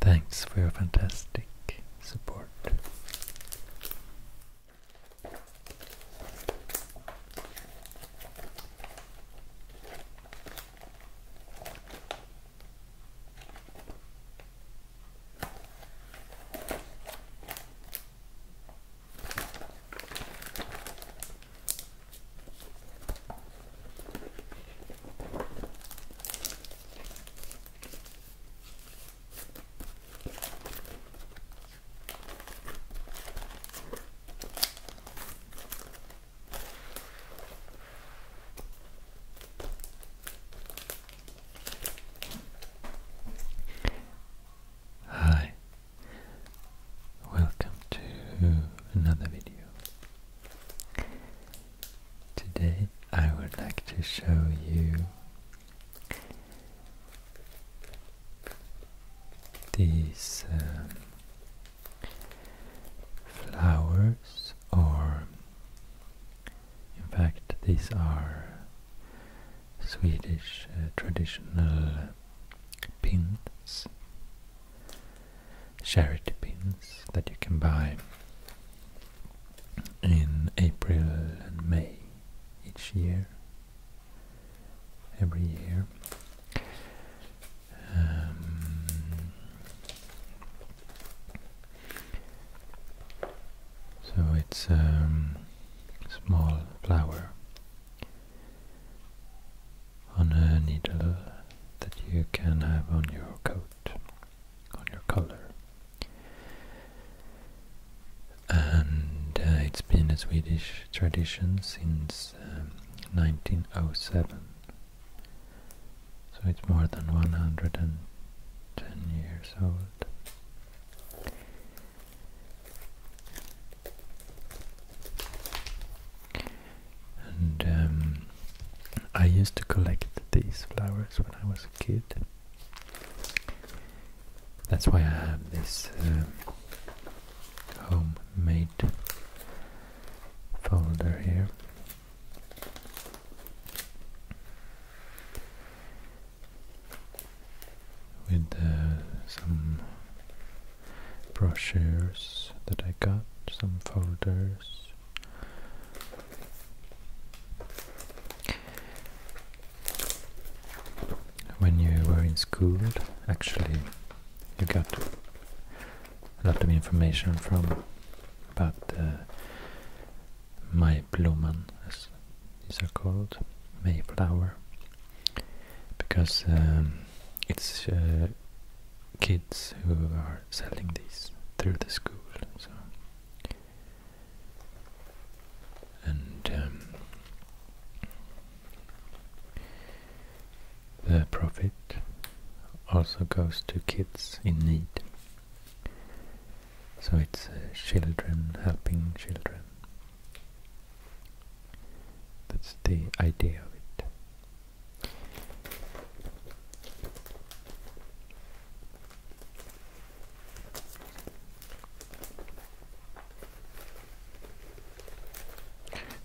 Thanks for your fantastic support. Hi, welcome to another video. Today I would like to show you these um, flowers are, in fact, these are Swedish uh, traditional pins, charity pins that you can buy in April and May each year, every year. Um, so it's a um, small flower on a needle that you can have on your coat on your color. And uh, it's been a Swedish tradition since 1907, um, so it's more than 110 years old. And um, I used to collect these flowers when I was a kid. That's why I have this um, homemade folder here. With uh, some brochures that I got, some folders when you were in school, actually, you got a lot of information from about May uh, Maibloman, as these are called, Mayflower, because um, it's uh, kids who are selling these through the school, and um, the profit also goes to kids in need. So it's uh, children helping children. That's the idea of it.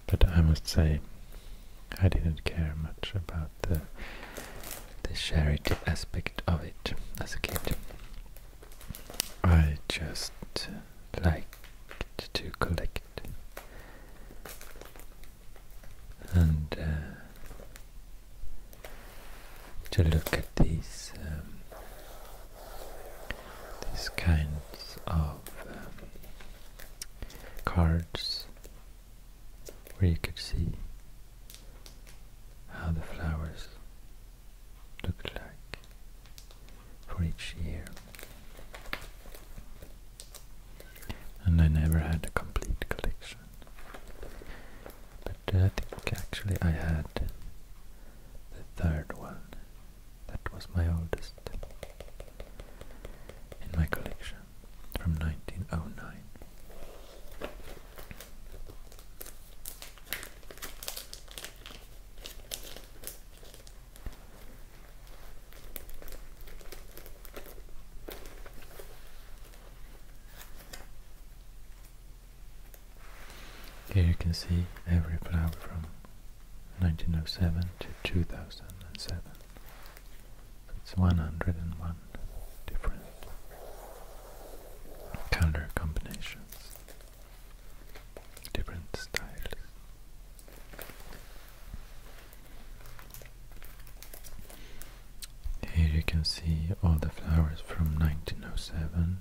But I must say, I didn't care much about the the charity aspect of it as a kid. I just liked to collect, and uh, to look at these um, these kinds of um, cards where you could see how the flowers look like for each year. And I never had a complete collection but I think actually I had the third one. That was my oldest in my collection from 1909. Here you can see every flower from 1907 to 2007. It's 101 different color combinations, different styles. Here you can see all the flowers from 1907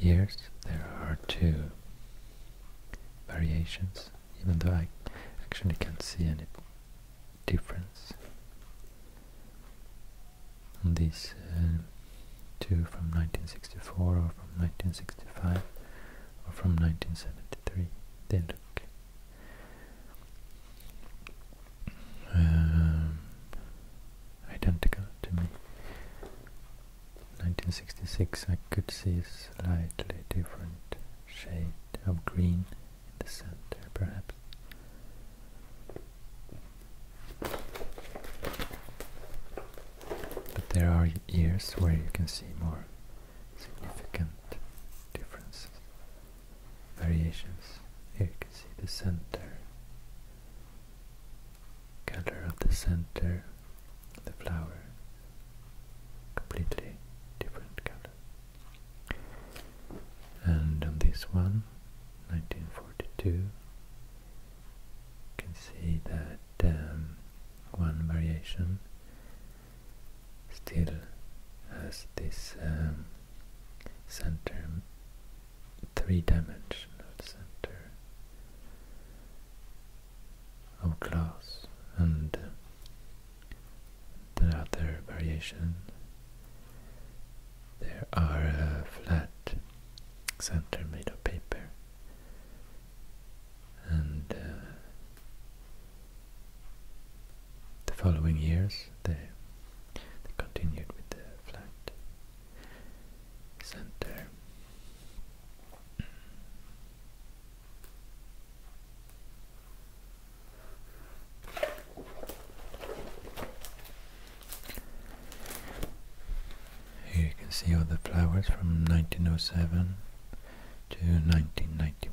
years, there are two variations, even though I actually can't see any difference on these uh, two from 1964 or from 1965 or from 1973. They um, identical to me. 1966 I could see a slightly different shade of green in the center perhaps. But there are years where you can see more significant differences, variations. Here you can see the center, color of the center the flower completely different color and on this one 1942 you can see that um, one variation still has this um, center three-dimensional center of glass and the other variation. There are flat center made of paper and uh, the following years they continued with the flat center here you can see all the flowers from 1907 to 1991.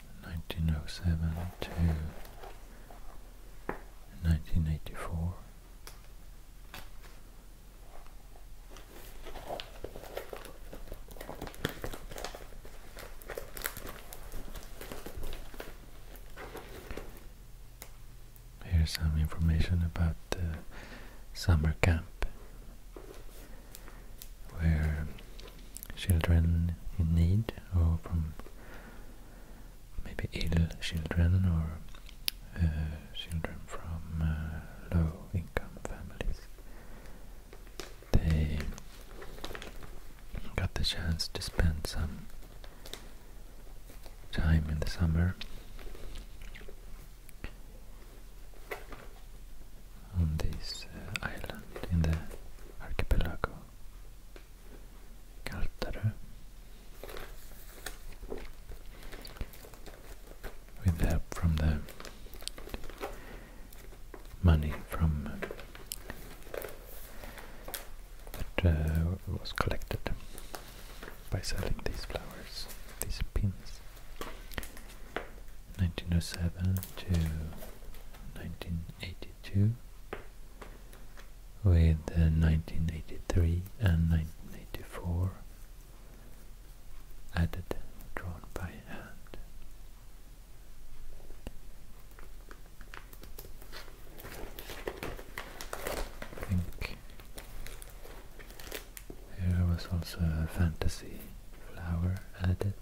1907 to 1984. Here's some information about the summer camp where children in need or from maybe ill children or uh, children from uh, low income families. They got the chance to spend some time in the summer on this uh, island in the archipelago Galterö with help from the money from uh, that uh, was collected by selling these flowers, these pins. 1907 to nineteen eighty. 1982 with 1983 and 1984 added drawn by hand. think here was also a fantasy flower added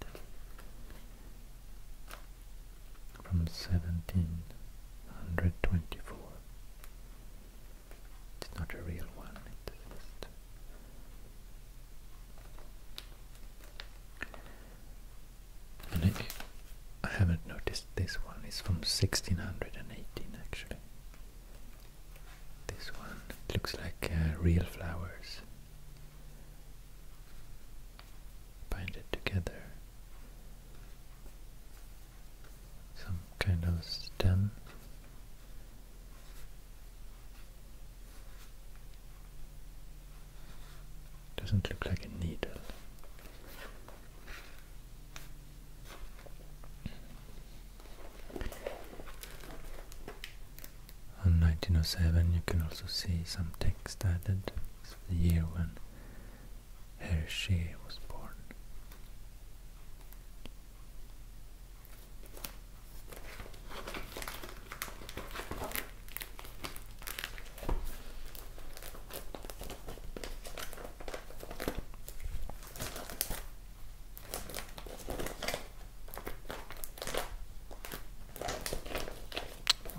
from 1724. It's not a real one, it's just... And I, I haven't noticed this one, it's from 1618 actually. This one, looks like uh, real flowers bind it together. Some kind of stem. Doesn't look like a needle. On 1907 you can also see some text added, it's the year when Hergé was born.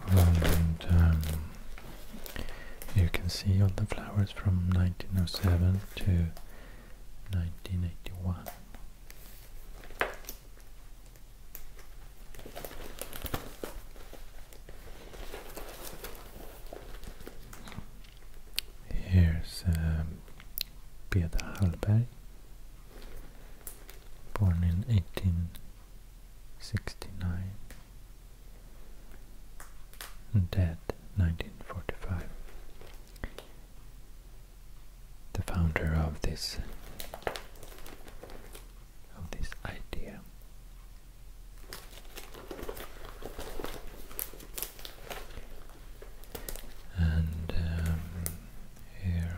And you can see all the flowers from 1907 to 1981. Here's um, Beda Hallberg born in 1869 and dead 1945. The founder of this of this idea. And um, here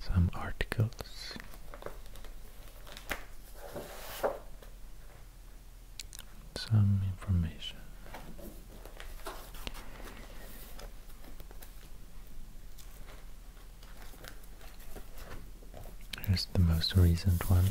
Some articles some information here's the most recent one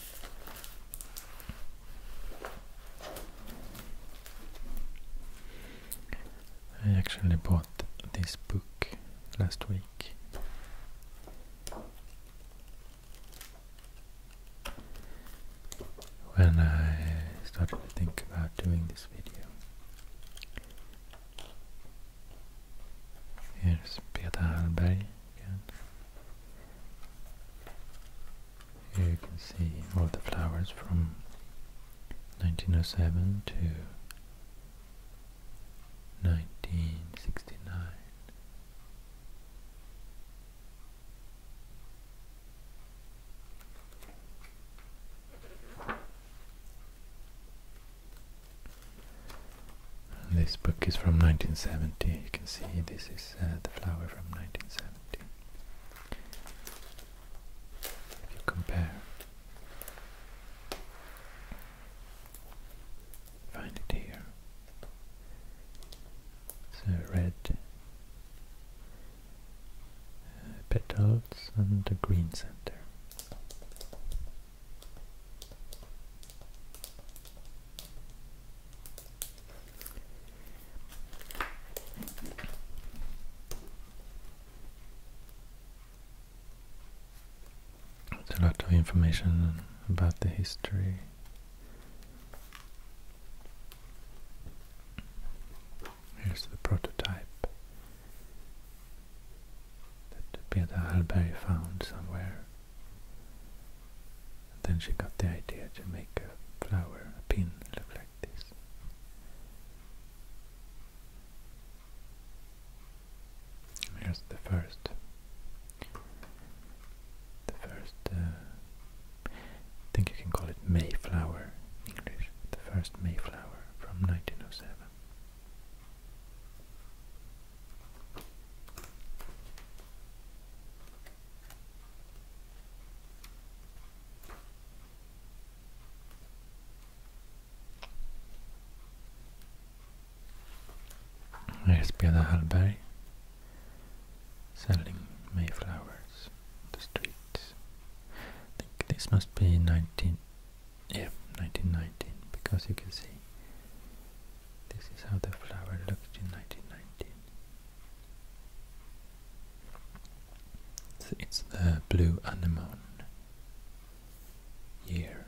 I actually bought this book last week. When I started to think about doing this video, here's Peter Hallberg. Here you can see all the flowers from 1907 to 1969. This book is from 1970. You can see this is uh, the flower from 1970. If you compare, find it here. So red uh, petals and a green center a lot of information about the history. Here's the prototype that Peter Hallberg found somewhere and then she got the idea to make a flower, a pin, look like this. Here's the first, the first, uh, I think you can call it Mayflower English, the first Mayflower from 1907. Hespeda Hallberg selling Mayflowers on the streets. I think this must be 19, yeah, 1919 because you can see this is how the flower looked in 1919. So it's the blue anemone year.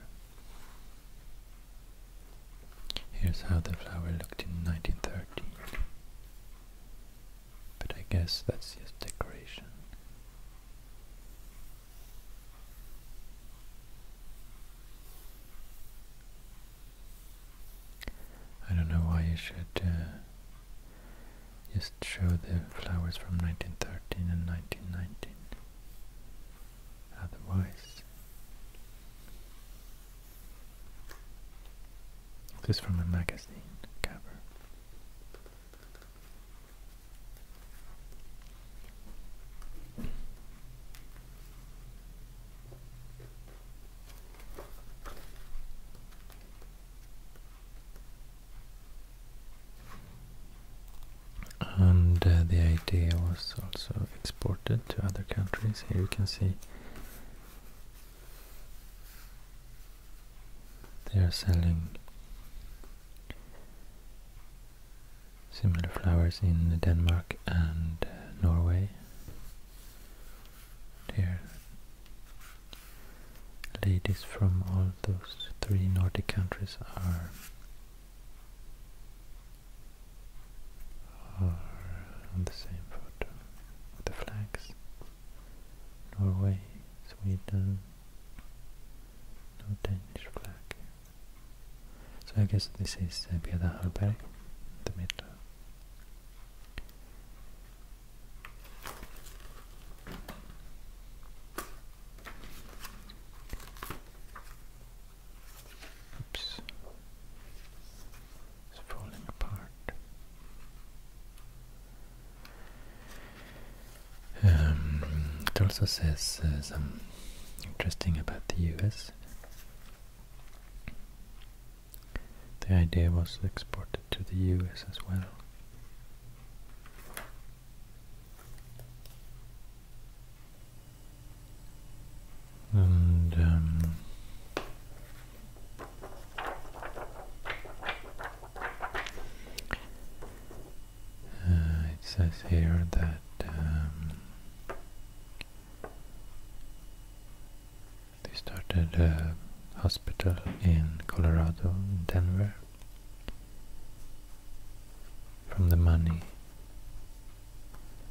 Here's how the flower looked in 1913. But I guess that's just decoration. I don't know why you should uh, just show the flowers from 1913 and 1919. Otherwise, this from a magazine cover and uh, the idea was also exported to other countries. Here you can see they are selling similar flowers in Denmark and uh, Norway there, ladies from all those three Nordic countries are are on the same photo with the flags. Norway, Sweden, no Danish flag. So I guess this is uh, Beda the middle. Oops. It's falling apart. Um, it also says uh, some interesting about the US. The idea was exported to the US as well. And um, uh, it says here that um, they started a hospital in Colorado, in Denver, from the money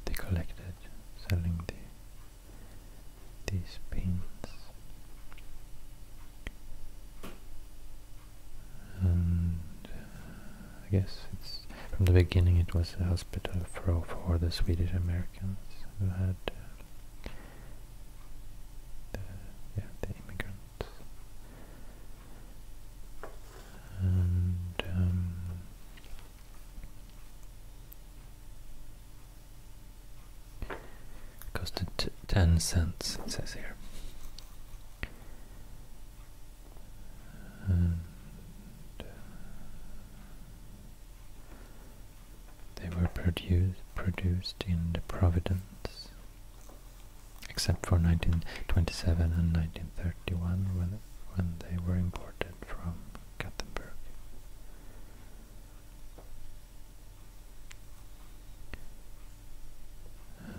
they collected selling these pins, And uh, I guess it's from the beginning it was a hospital for, for the Swedish Americans who had uh, the, immigrants. And um, costed 10 cents, it says here. Uh, they were produced in the Providence, except for 1927 and 1931 when, when they were imported from Gothenburg.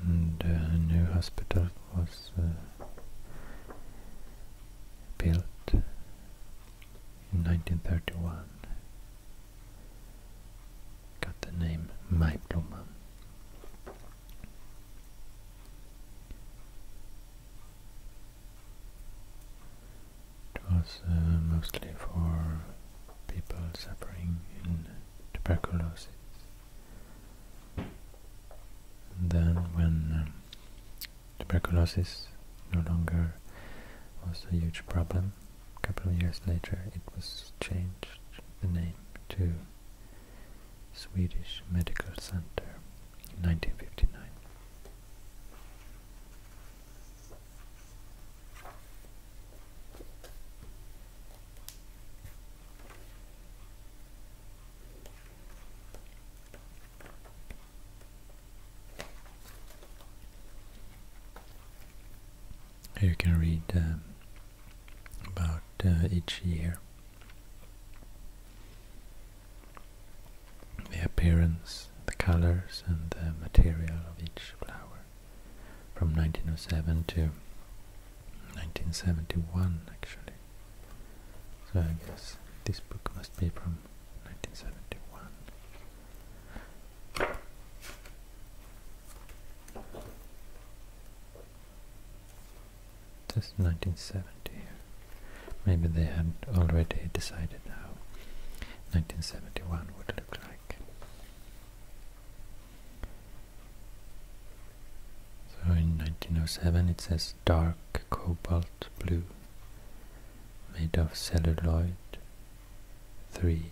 And uh, a new hospital was uh, built in 1931 got the name Maiblomman. It was uh, mostly for people suffering in tuberculosis. then when um, tuberculosis no longer was a huge problem. A couple of years later it was changed the name to Swedish Medical Center in 1959 you can read um, about uh, each year. The appearance, the colors and the material of each flower from 1907 to 1971 actually. So I guess this book must be from from This is 1970. Maybe they had already decided how 1971 would look like. So in 1907 it says dark cobalt blue made of celluloid, three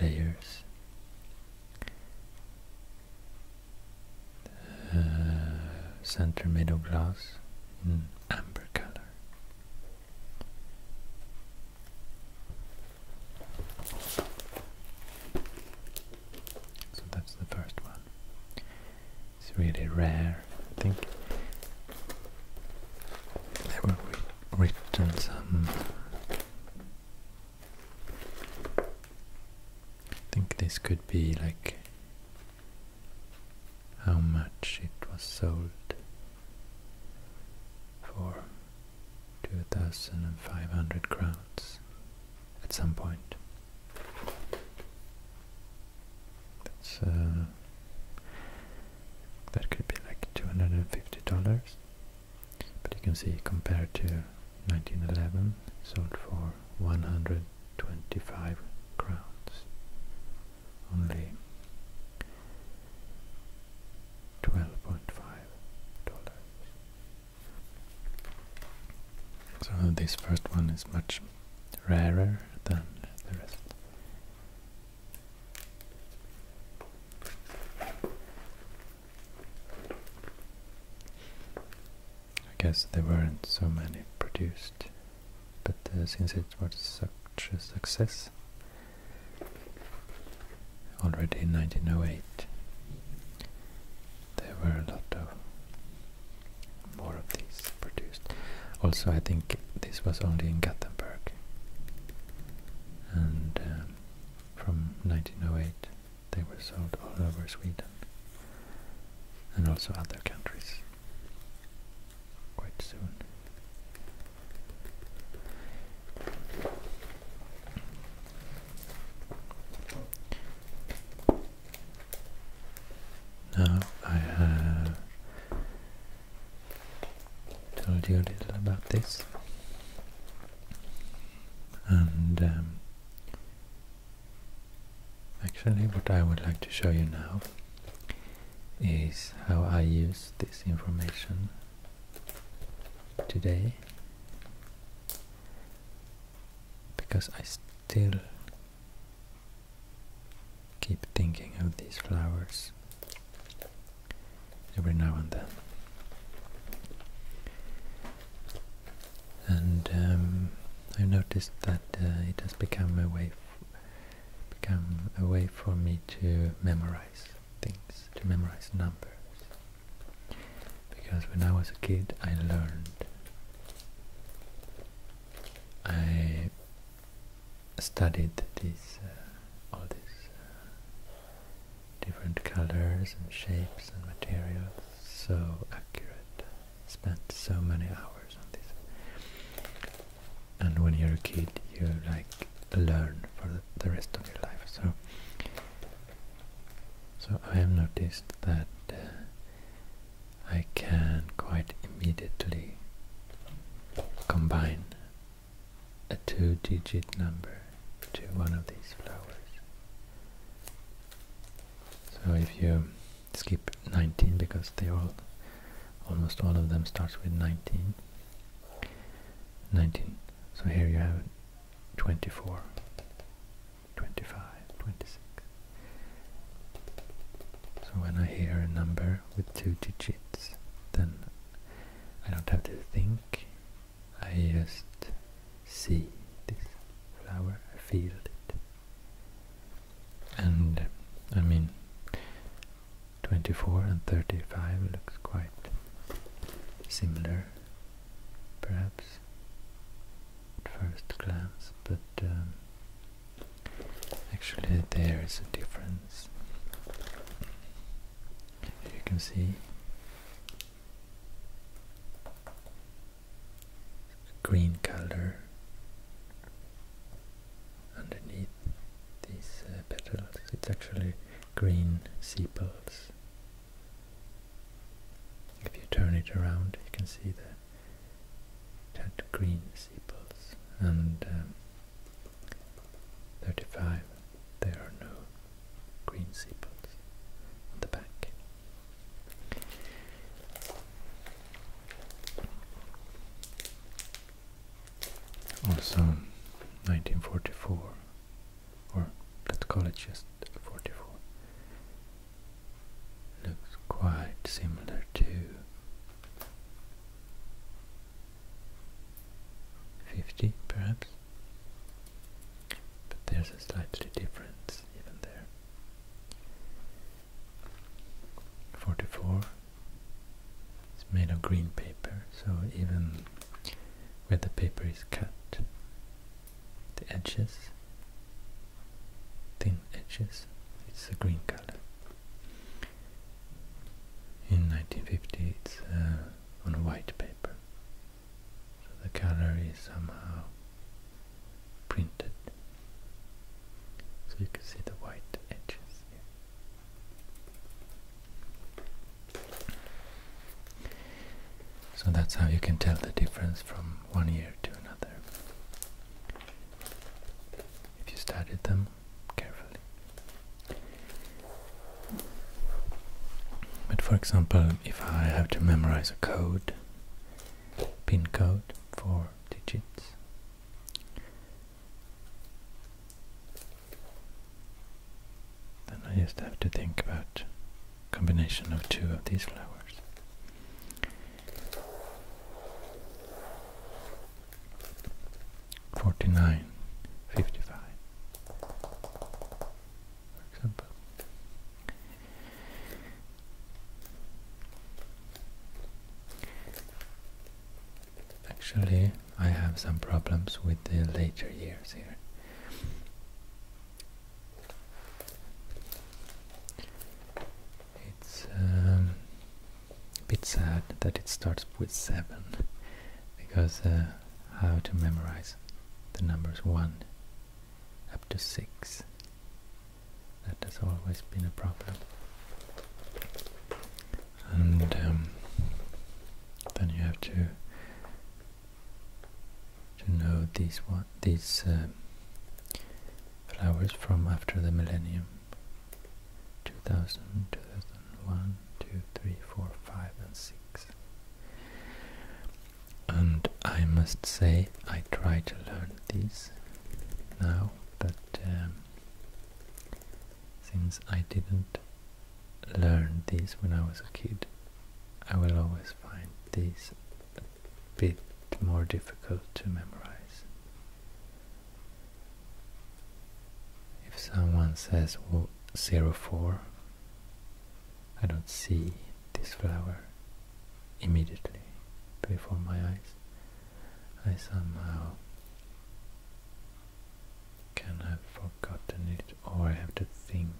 layers. Uh, center made of glass in amber color. So that's the first one. It's really rare, I think. There were written some. I think this could be like how much it was sold for 2500 crowns at some point. That's uh, that could be like two hundred and fifty dollars. But you can see compared to nineteen eleven, sold for one hundred twenty-five crowns. Only twelve point five dollars. So this first one is much rarer than the rest. I guess there weren't so many produced, but uh, since it was such a success already in 1908, there were a lot of more of these produced. Also, I think this was only in Gothenburg, and um, from 1908 they were sold all over Sweden and also other countries quite soon. Now I have told you a little about this, and um, actually, what I would like to show you now is how I use this information today because I still keep thinking of these flowers every now and then. And um, I've noticed that uh, it has become a way become a way for me to memorize things, to memorize numbers. Because when I was a kid, I learned I studied uh, all these uh, different colors and shapes and materials so accurate. Spent so many hours on this. And when you're a kid, you like learn for the, rest of your life. So, so I have noticed that uh, I can quite immediately combine a two digit number to one of these flowers. So if you skip 19 because they all almost all of them starts with 19 19 so here you have 24 25 26 so when I hear a number with two digits, then I don't have to think, I just see this flower, I feel it. And I mean, 24 and 35 looks quite similar, perhaps, at first glance, but um, Actually, there is a difference. You can see green color underneath these uh, petals. It's actually green sepals. If you turn it around, you can see that had green sepals and um, 35 there are no green sepals on the back. Also 1944 or let's call it just 44 looks quite similar to 50 perhaps but there's a slightly difference even there 44 it's made of green paper so even where the paper is cut the edges thin edges it's a green color in 1950 it's uh, on white paper so the color is somehow printed so you can see the white edges so that's how you can tell the difference from one year to another if you studied them carefully. But for example, if I have to memorize a code, pin code, four digits, then I just have to think about combination of two of these flowers. 49, 55, for example. Actually, I have some problems with the later years here. It's um, a bit sad that it starts with 7, because uh, how to memorize the numbers 1 up to 6, that has always been a problem. And um, then you have to to know these one, these um, flowers from after the millennium 2000, 2001, 2, 3, 4, 5 and 6. And I must say I try to learn these now, but um, since I didn't learn these when I was a kid, I will always find these a bit more difficult to memorize. If someone says well, 04, I don't see this flower immediately before my eyes. I somehow can have forgotten it or I have to think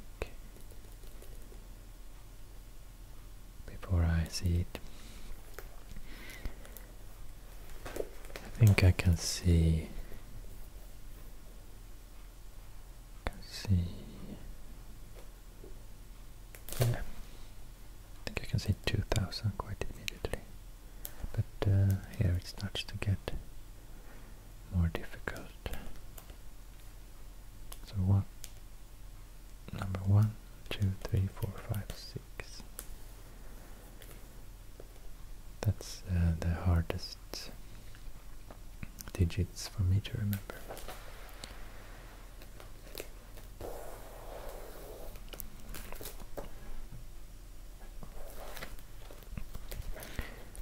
before I see it. I think I can see see yeah. I think I can see 2000 quite immediately but uh, here it starts to get more difficult so one, number one, two, three, four, five, six. That's uh, the hardest digits for me to remember.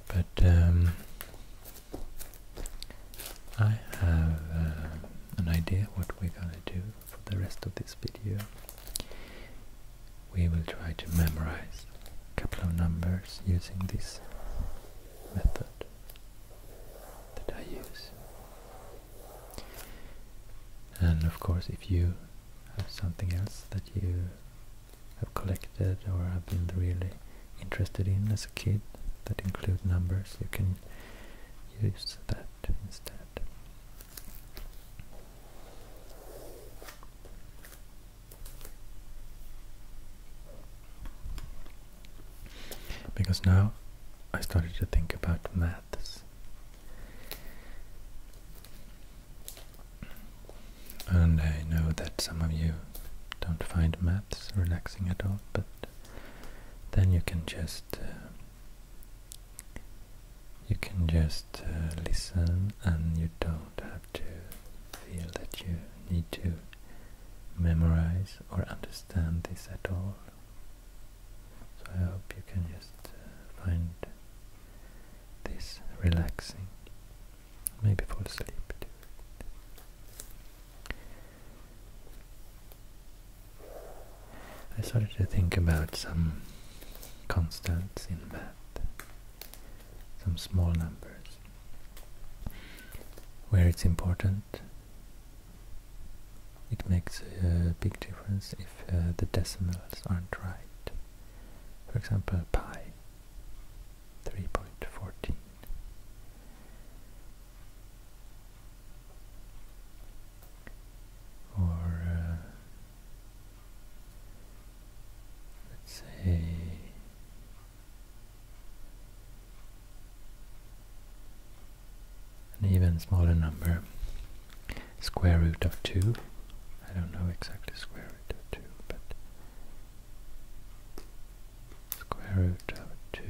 But um, I have uh, an idea what we're gonna do for the rest of this video we will try to memorize a couple of numbers using this method that I use. And of course if you have something else that you have collected or have been really interested in as a kid that include numbers, you can use that instead. Because now I started to think about maths. And I know that some of you don't find maths relaxing at all, but then you can just uh, you can just uh, listen and you don't have to feel that you need to memorize or understand this at all. So I hope you can just uh, find this relaxing, maybe fall asleep I started to think about some constants in math, some small numbers, where it's important. It makes a big difference if uh, the decimals aren't right. For example, pi, 3.14 or uh, let's say an even smaller number, square root of 2. I don't know exactly square root of 2, but square root of 2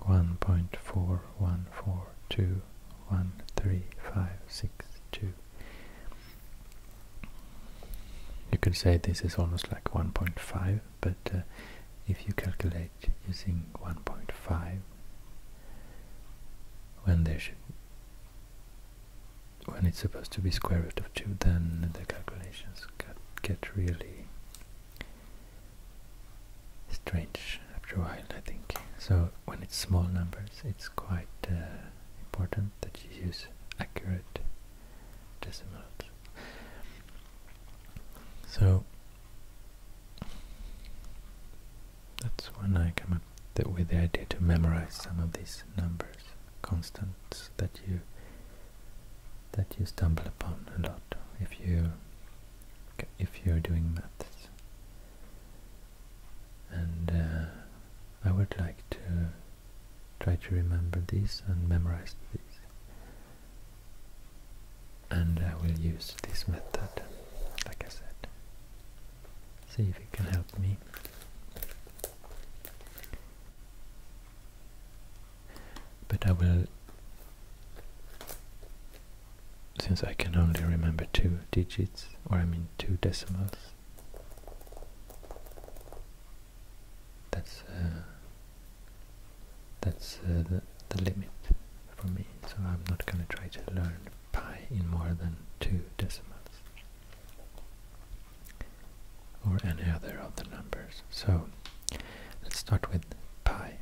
one point four one four two one three five six two. You could say this is almost like 1.5, but uh, if you calculate using 1.5, when there should when it's supposed to be square root of 2, then the calculations get really strange after a while, I think. So when it's small numbers, it's quite uh, important that you use accurate decimals. So that's when I come up with the idea to memorize some of these numbers, constants that you that you stumble upon a lot if you if you're doing maths. And uh, I would like to try to remember these and memorize these. And I will use this method, like I said. See if it can help me. But I will since I can only remember two digits, or I mean two decimals. That's uh, that's uh, the limit for me, so I'm not going to try to learn pi in more than two decimals or any other of the numbers. So let's start with pi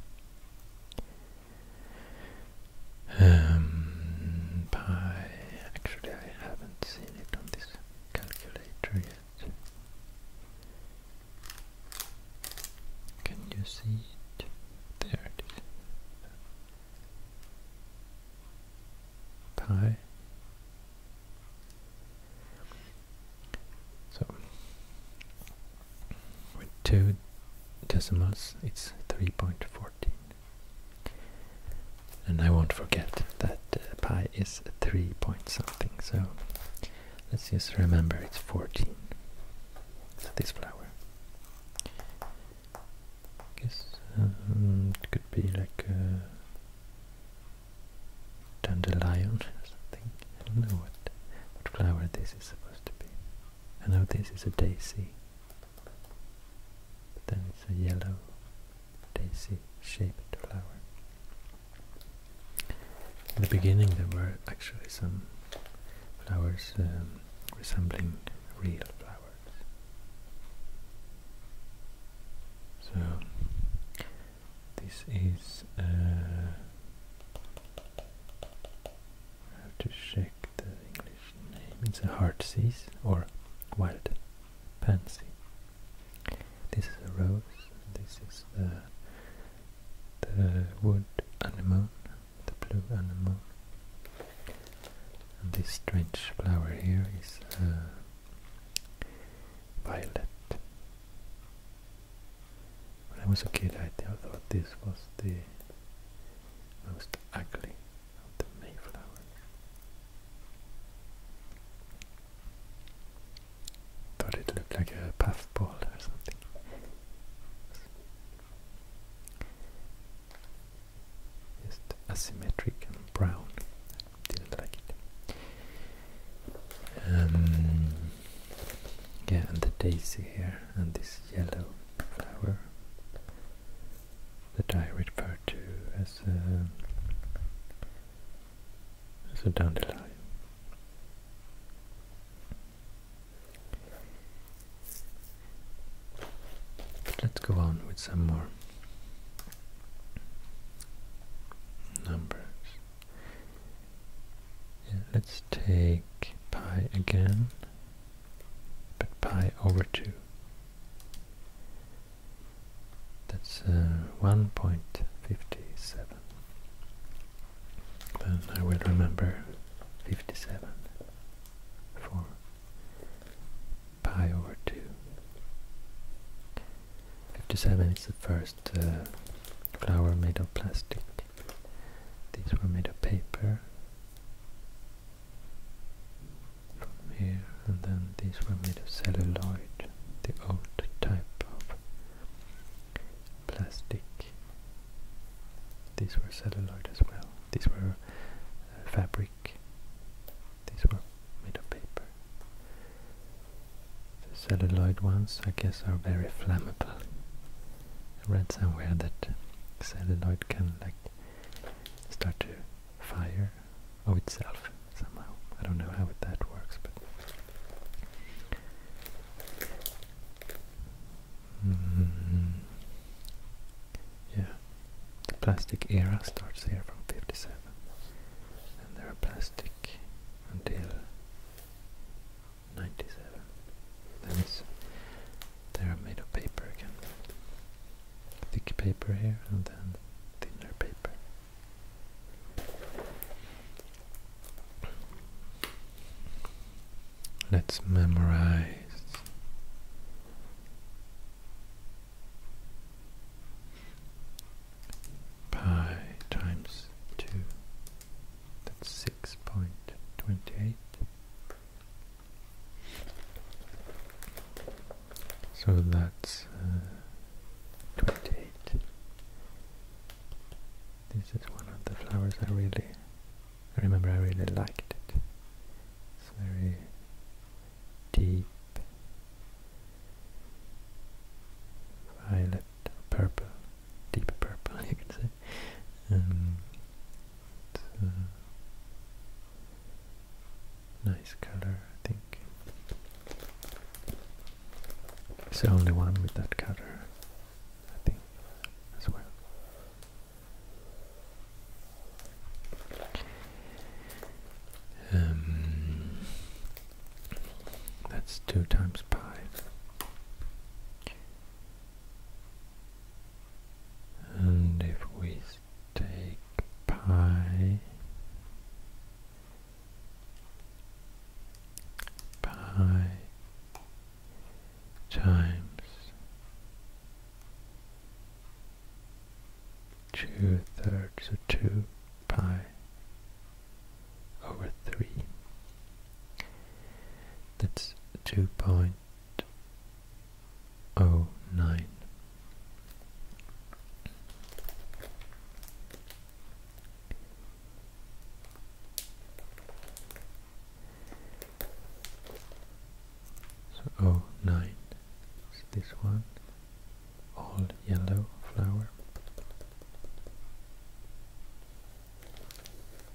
pi. Um, actually, I haven't seen it on this calculator yet. Can you see it? There Pi. So with two decimals it's 3.14 and I won't forget that uh, pi is 3 point something so let's just remember it's 14 this flower guess um, it could be like a dandelion or something I don't know what, what flower this is supposed to be I know this is a daisy, but then it's a yellow daisy shaped flower. In the beginning there were actually some flowers um, resembling real flowers. So this is uh, I have to check the English name. It's a heartsease or wild pansy. This is a rose. This is the the wood anemone, the blue anemone. And this strange flower here is violet. When I was a kid, I thought this was the most ugly of the mayflower. Thought it looked like a puffball or something. Just asymmetric and brown. Didn't like it. Um, yeah, and the daisy here, and this yellow flower that I refer to as a, as a dandelion. let's go on with some more numbers. let's take pi again but pi over 2. That's uh, 1.57. Then I will remember 57 for pi over 2. 57 is the first uh, flower made of plastic these were made of paper from here, and then these were made of celluloid, the old type of plastic. These were celluloid as well. These were uh, fabric. These were made of paper. The celluloid ones, I guess, are very flammable. I read somewhere that celluloid can like start to fire of itself somehow. I don't know how that works, but mm-hmm. yeah, the plastic era starts here from '57, and there are plastic until 97. That's, they're made of paper again. Thick paper here and then thinner paper. Let's memorize. Pi times 2, that's 6.28 so that's uh, 28. This is one of the flowers I really, remember I really liked it. It's very deep, violet, purple, deep purple you could say. Um, Mm-hmm. nice color I think it's the only one with that color I think as well um, that's two times pi and if we take pi pi times two thirds of two pi over three. That's two 2.5 0.09 so 09 is this one all yellow flower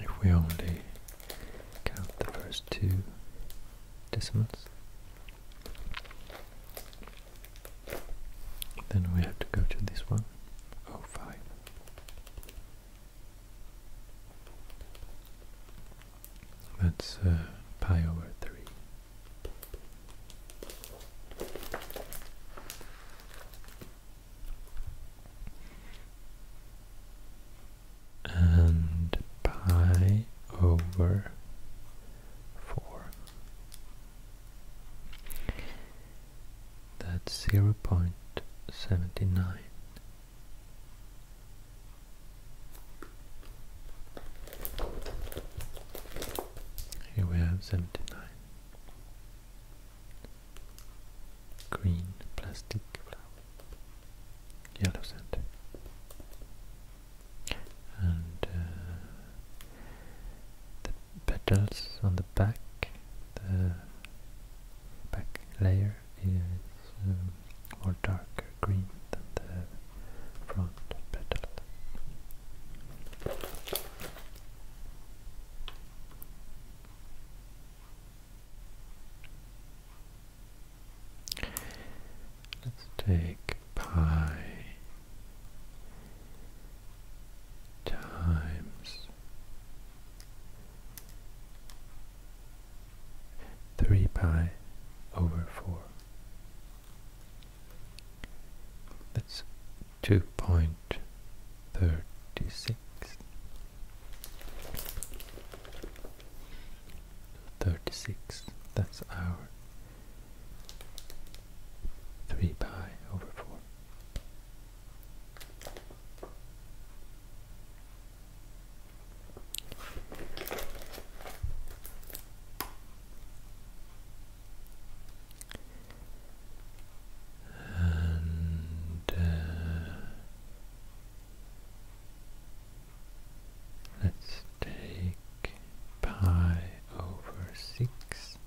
if we only count the first two decimals then we have to go to this one, oh five. That's uh, pi over three and pi over 4. That's 0.79. Here we have 79. Green plastic flowers yellow sand. And uh, the petals on the back, the back layer is um, more darker green than the front petals. Let's take pi times three pi over four. That's two point thirty six. 36. That's our 3 pi over 4. And uh, Let's take pi over 6.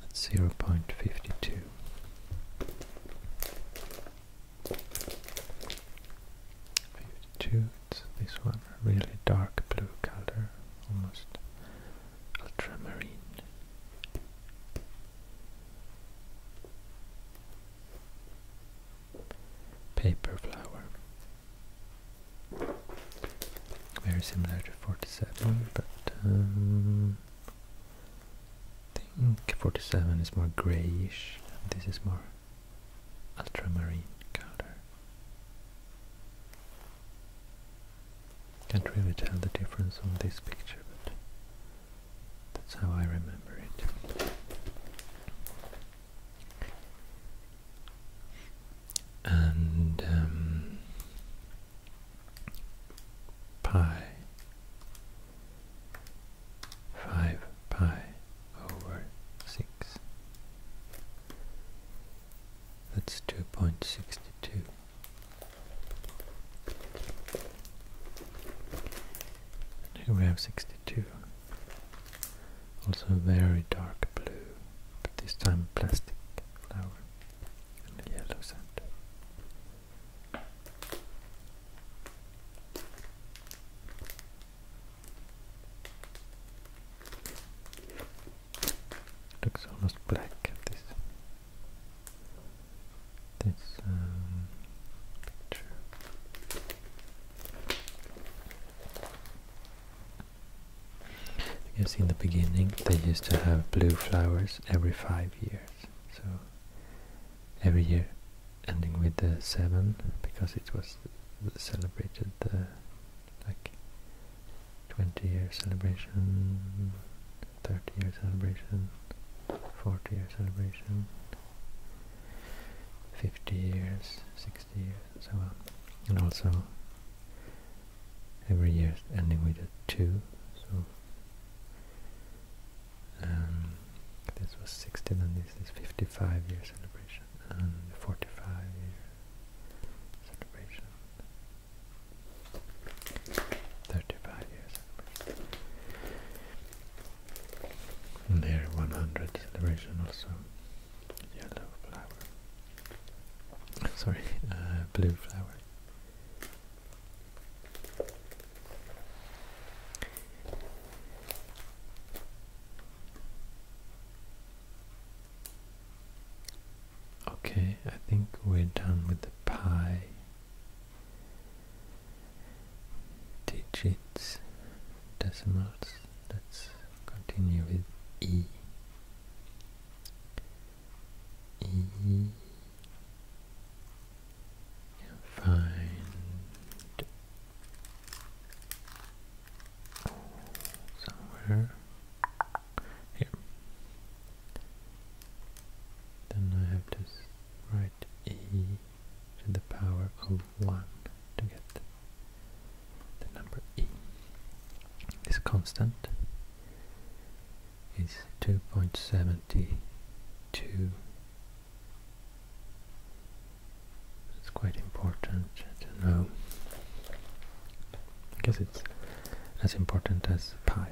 That's 0.52. Fifty-two. It's this one, really dark blue color, almost ultramarine. Paper flower. Very similar to 47, but I um, think 47 is more grayish, this is more ultramarine color. Can't really tell the difference on this picture, but that's how I remember it. And um, pi 5 pi over 6 that's 2.62 here we have 62. Also very dark blue, but this time plastic flower and yellow sand. Looks almost black at this this um, I guess in the beginning they used to have blue flowers every five years. So every year ending with the seven because it was celebrated the like 20 year celebration 30 year celebration, 40 year celebration, 50 years, 60 years, and so on. And also every year ending with a 2, so um, this was 60, and this is 55 year celebration, and 45 year celebration, 35 years and 100 celebration also yellow flower sorry uh, blue flower Okay, I think we're done with the pie digits, decimals. Let's continue with E. E find somewhere here. Then I have to Right, e to the power of 1 to get the number e. This constant is 2.72. It's quite important to know. I guess it's as important as pi.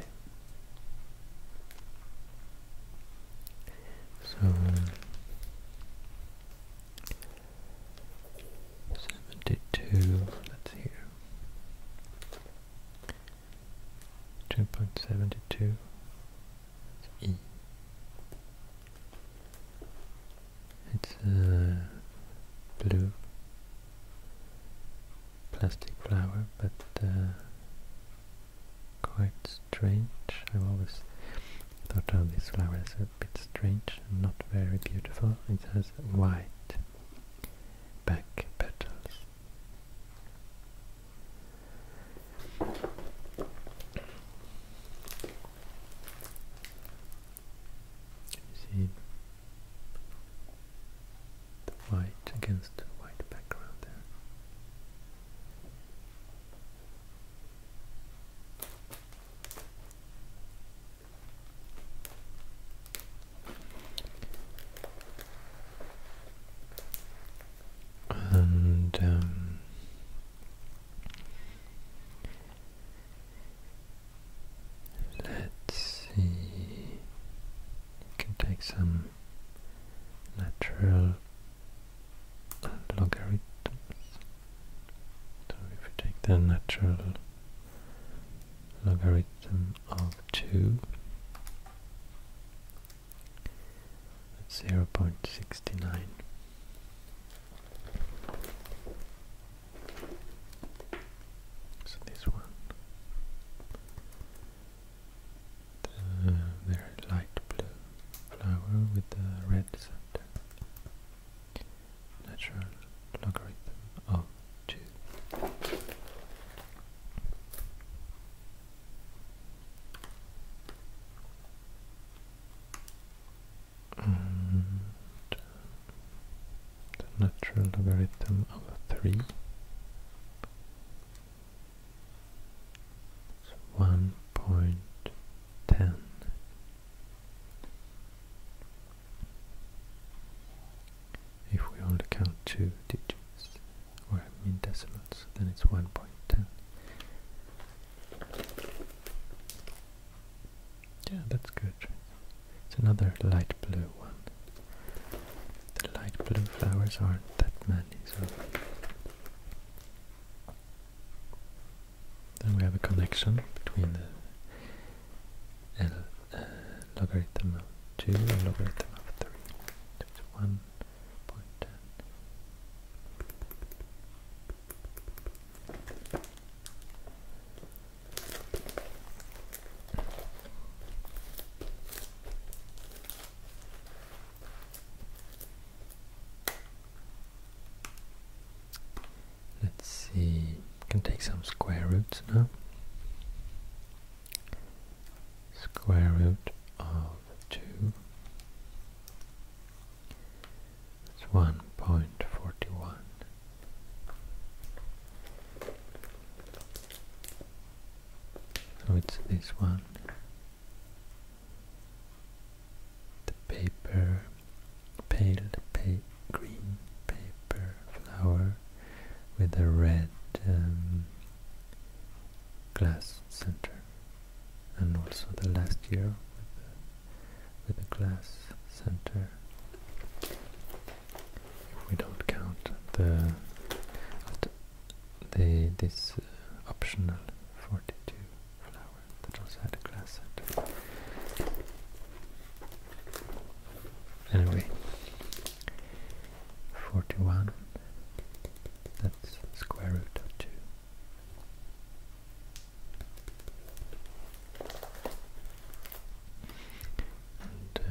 So seventy two, that's here. Two point seventy two It's a uh, blue plastic flower, but uh, quite strange. I've always thought of this flower as a bit strange and not very beautiful. It has white back petals. see the white against the white background there. And um, let's see you can take some natural logarithms. So if we take the natural logarithm of 2, that's 0.69. So this one the uh, very light blue flower with the red center. Natural logarithm of 2. Uh, the natural logarithm of 3 it's one point ten. If we only count two digits, or I mean decimals, then it's one point ten. Yeah, that's good. It's another light blue one. The light blue flowers aren't that many, so. Then we have a connection between the L, uh, logarithm of 2 and logarithm of 3. That's 1.10. Let's see, can take some square roots now. Square root of 2 It's 1.41. So it's this one the paper, pale pa green paper flower with a red um, glass center, and also the last year with the, with the glass center. If we don't count the they this uh, optional 42 flower that also had a glass set. Anyway, 41, that's square root of 2. Uh,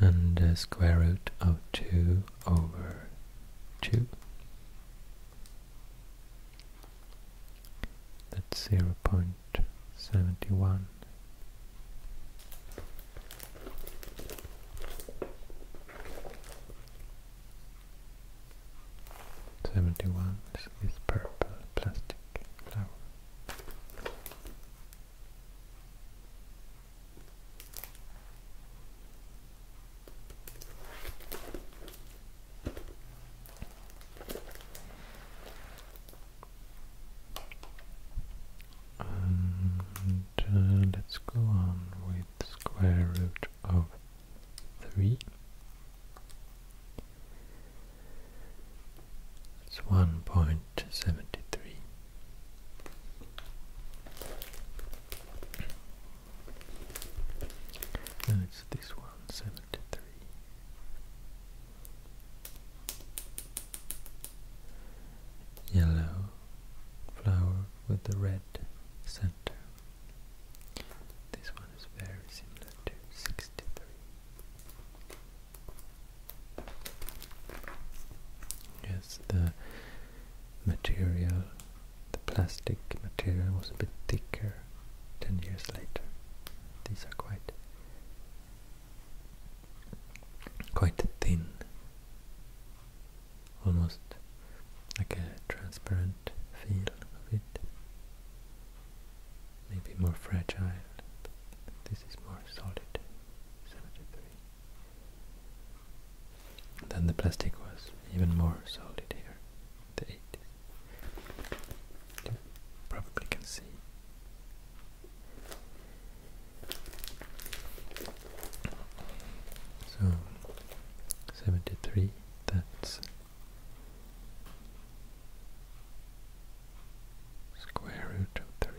and the square root of 2 over 2. That's 0.71. Seventy-one is purple plastic and uh, let's go on with square root of 3. It's 1.2 73. No, it's this one, Yellow flower with the red center. This one is very similar to 63. Yes, the material, the plastic material was a bit thicker 10 years later. These are quite quite thin, almost like a transparent feel of it. Maybe more fragile, this is more solid. 73. Then the plastic was even more solid here, the 80s. You probably can see. So, 73, that's square root 3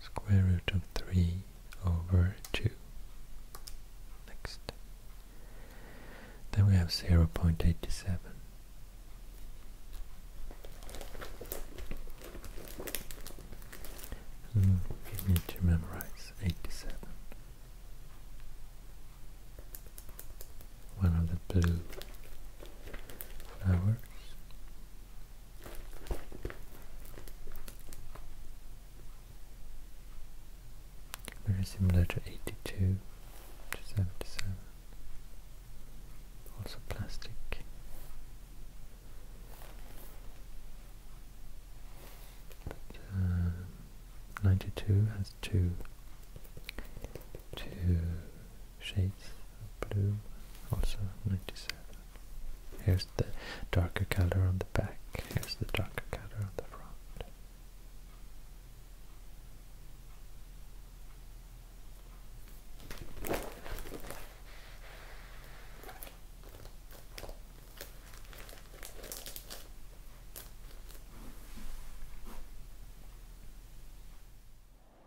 square root of 3 over 2. Next. Then we have 0.87. Mm, need to memorize 87 one of the blue flowers. Very similar to 82 to 77. Also plastic. Uh, 92 has two two shades of blue, also 97. Here's the darker color on the back, here's the darker color on the front.